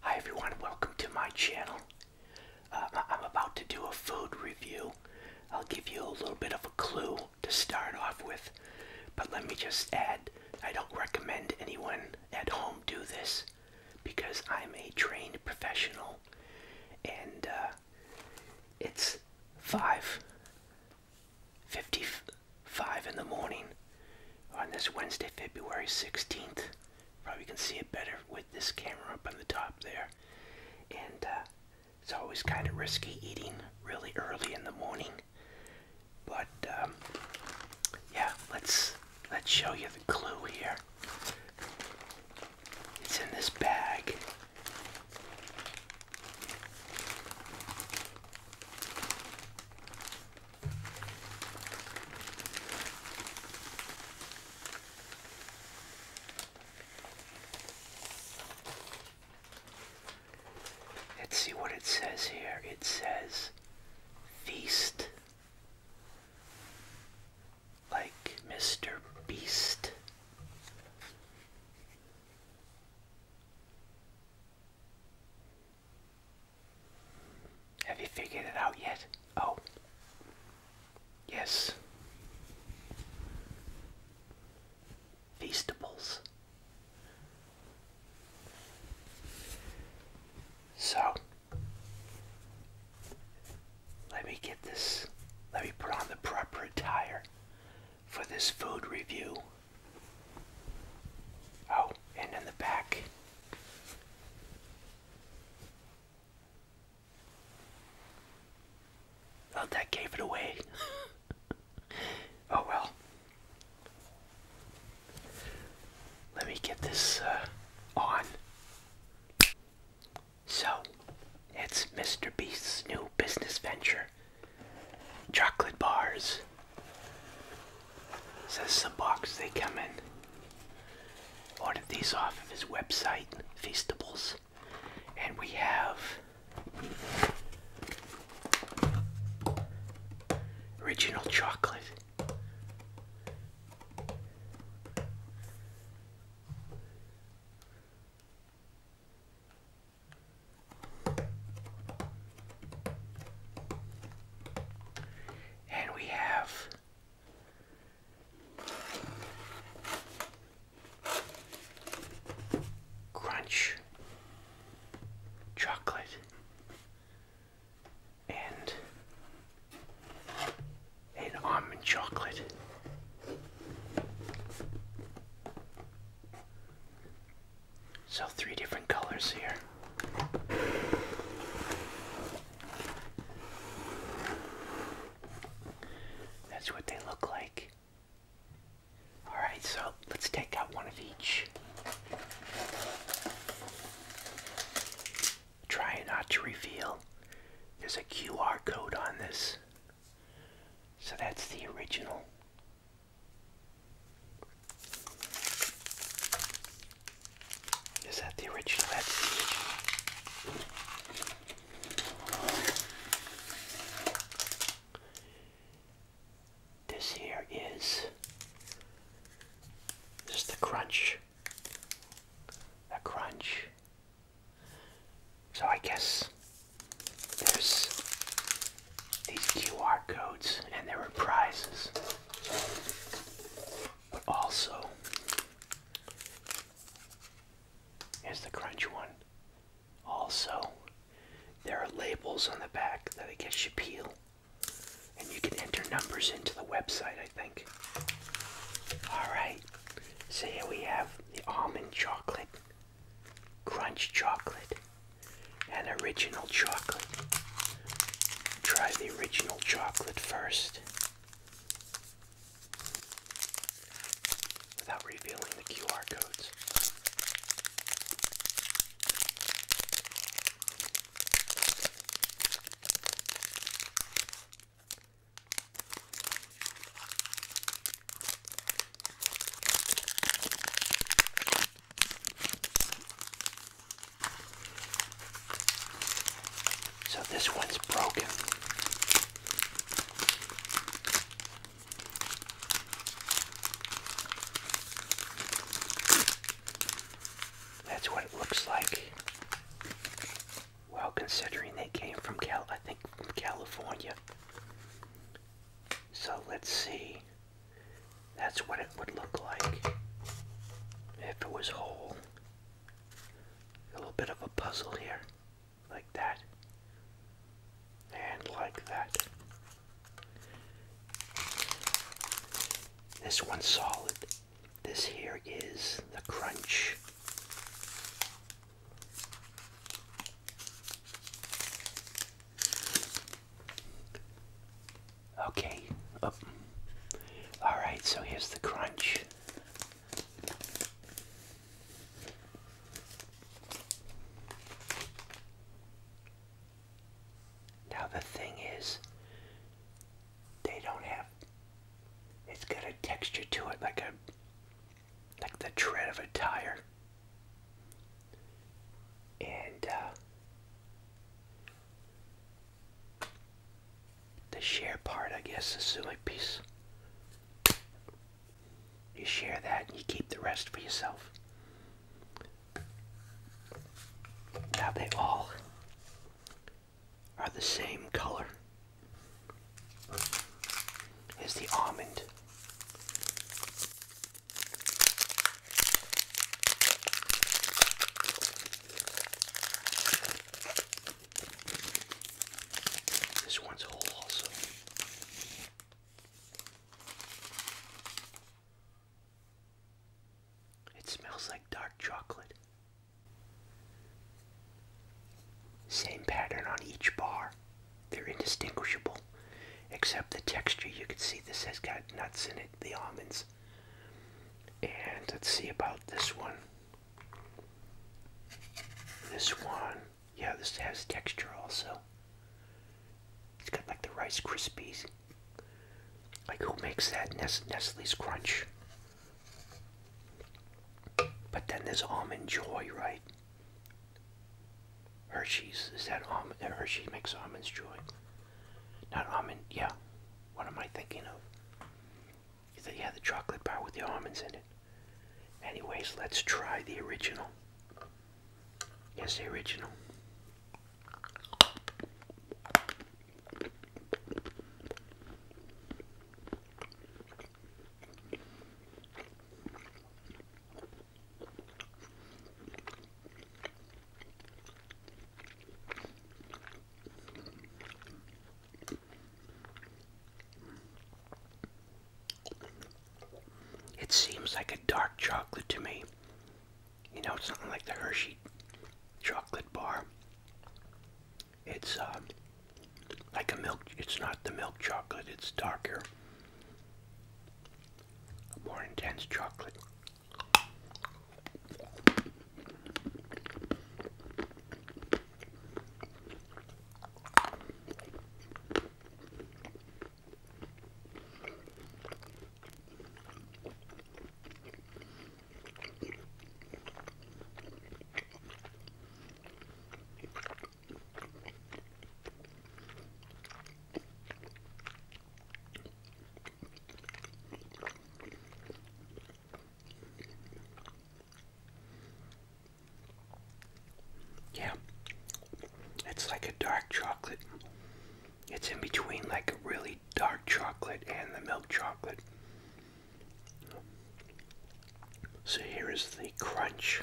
Hi everyone, welcome to my channel. Uh, I'm about to do a food review. I'll give you a little bit of a clue to start off with, but let me just add I don't recommend anyone at home do this because I'm a trained professional and uh, it's 5 50 5 in the morning on this Wednesday, February 16th. Probably can see it better with this camera up on the top there. And uh, it's always kind of risky eating really early in the morning. But um, yeah, let's let's show you the clue here. It's in this bag. Let's see what it says here. It says feast. Like Mr. Beast. Have you figured it out yet? Oh. Yes. Feastables. So, let me get this, let me put on the proper attire for this food review. Oh, and in the back. Oh, that gave it away. oh well. Let me get this uh, on. So, it's Mr. Beast's new business venture chocolate bars so this is a box they come in. Ordered these off of his website, Feastables. And we have original chocolate. And we have crunch chocolate and an almond chocolate. So, three different colors here. That's what they look like. Alright, so let's take out one of each. Try not to reveal. There's a QR code on this. So that's the original. Is that the original? That's the original. This here is just the crunch. A crunch. So I guess there's these QR codes, and there are prizes. But also, here's the crunch one. Also, there are labels on the back that I guess you peel, and you can enter numbers into the website, I think. Alright, so here we have the almond chocolate, crunch chocolate, and original chocolate. Try the original chocolate first without revealing the QR codes. So this one's broken. That's what it looks like. Well, considering they came from Cal, I think from California. So let's see. That's what it would look like if it was whole. A little bit of a puzzle here, like that, and like that. This one solid. This here is the crunch. Okay. Oh. All right, so here's the crunch. Now the thing is, they don't have, it's got a texture to it like a, like the tread of a tire. And uh, the share part, I guess, is the only piece. You share that and you keep the rest for yourself. Now they all are the same color as the almond. This one's whole also. It smells like dark chocolate. Same pattern on each bar. They're indistinguishable, except the texture. You can see this has got nuts in it, the almonds. And let's see about this one. This one, yeah, this has texture also. It's got like the Rice Krispies. Like who makes that Nestle's Crunch? But then there's Almond Joy, right? Hershey's is that almond? Hershey makes almonds joy. Not almond. Yeah. What am I thinking of? Is that yeah the chocolate bar with the almonds in it? Anyways, let's try the original. Yes, the original. It seems like a dark chocolate to me. You know, it's not like the Hershey chocolate bar. It's um, like a milk, it's not the milk chocolate, it's darker more intense chocolate. Yeah, it's like a dark chocolate. It's in between like a really dark chocolate and the milk chocolate. So here is the crunch.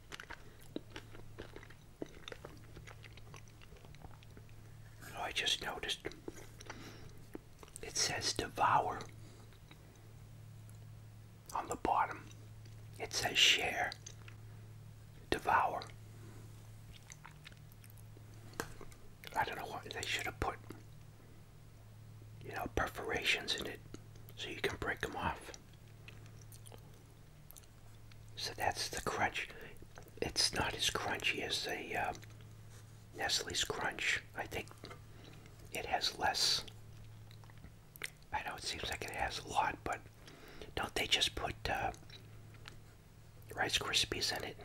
I just noticed it says devour on the bottom. It says share, devour. I don't know why they should have put, you know, perforations in it so you can break them off. So that's the crunch. It's not as crunchy as the um, Nestle's Crunch. I think it has less. I know it seems like it has a lot, but don't they just put uh, Rice Krispies in it?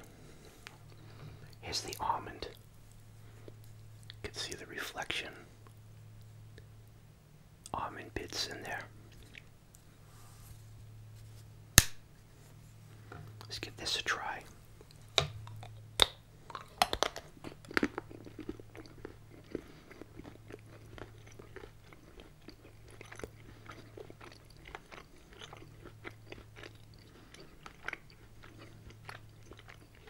Here's the almond. You can see the reflection almond bits in there. Let's give this a try.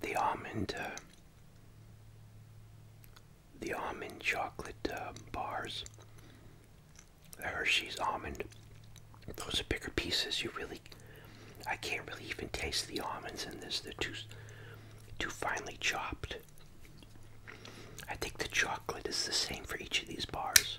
the almond uh, the almond chocolate uh, bars the Hershey's almond those are bigger pieces you really I can't really even taste the almonds in this they're too too finely chopped I think the chocolate is the same for each of these bars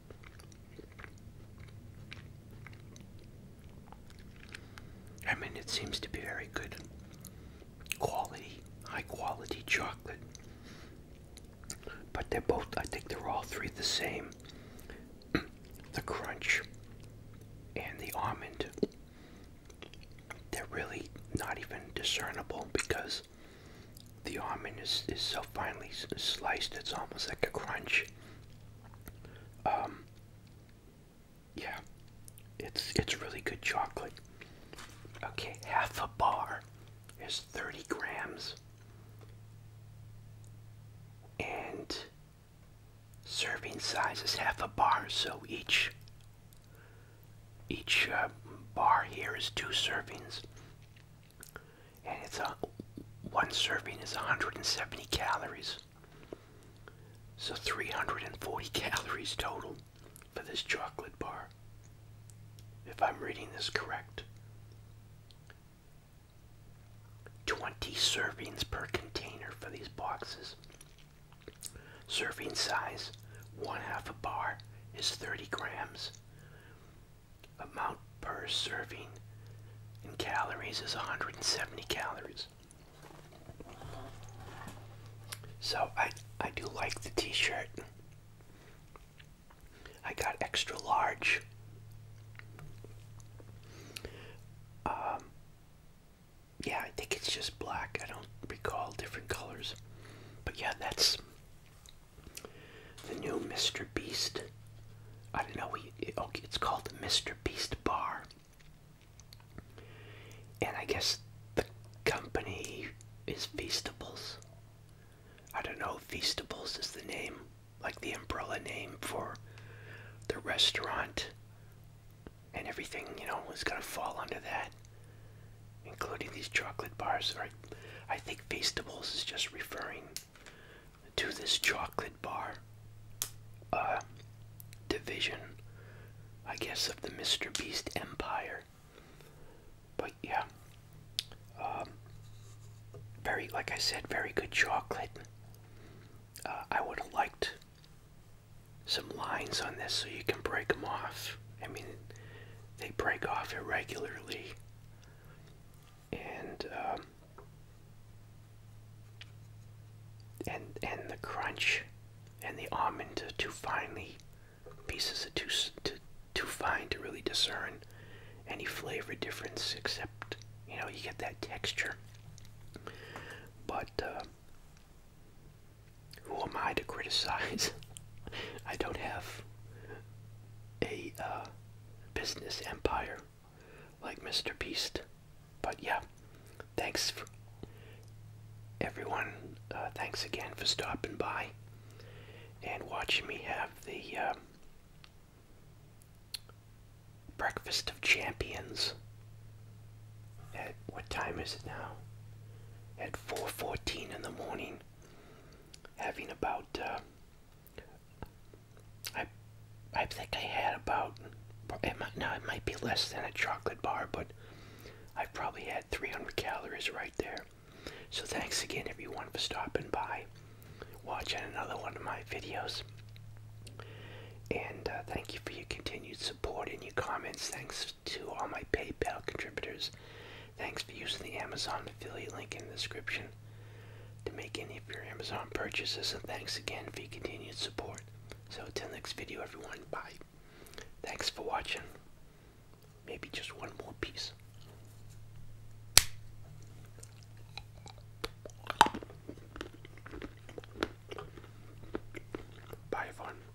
I mean, it seems to be very good quality, high quality chocolate. But they're both, I think they're all three the same the crunch and the almond. They're really not even discernible because the almond is, is so finely sliced, it's almost like a crunch. Um, yeah, it's, it's really good chocolate. Okay, half a bar is 30 grams. And serving size is half a bar, so each each uh, bar here is two servings and it's a one serving is 170 calories. So 340 calories total for this chocolate bar. If I'm reading this correct. 20 servings per container for these boxes. Serving size, one half a bar is 30 grams amount per serving in calories is 170 calories. So I I do like the t-shirt. I got extra large. Um, yeah, I think it's just black. I don't recall different colors. But yeah, that's the new Mr. Beast. I don't know. We It's called Mr. Beast Bar, and I guess the company is Feastables. I don't know. Feastables is the name, like the umbrella name for the restaurant, and everything you know is gonna fall under that, including these chocolate bars. Right? I think Feastables is just referring to this chocolate bar uh, division, I guess, of the Mr. Beast empire. But yeah, um, very, like I said, very good chocolate. Uh, I would have liked some lines on this so you can break them off. I mean, they break off irregularly and um, and and the crunch and the almond are too finely pieces are too too too fine to really discern any flavor difference except you know you get that texture but uh, who am I to criticize? I don't have a uh, business empire like Mr. Beast. But yeah, thanks for everyone. Uh, thanks again for stopping by and watching me have the uh, breakfast of champions. At what time is it now? At 4:14 in the morning, having about uh, I I think I had about now it might be less than a chocolate bar, but I've probably had 300 calories right there. So thanks again everyone for stopping by, watching another one of my videos. And uh, thank you for your continued support and your comments. Thanks to all my PayPal contributors. Thanks for using the Amazon affiliate link in the description to make any of your Amazon purchases, and thanks again for your continued support. So, until next video, everyone, bye. Thanks for watching. Maybe just one more piece. Bye, everyone.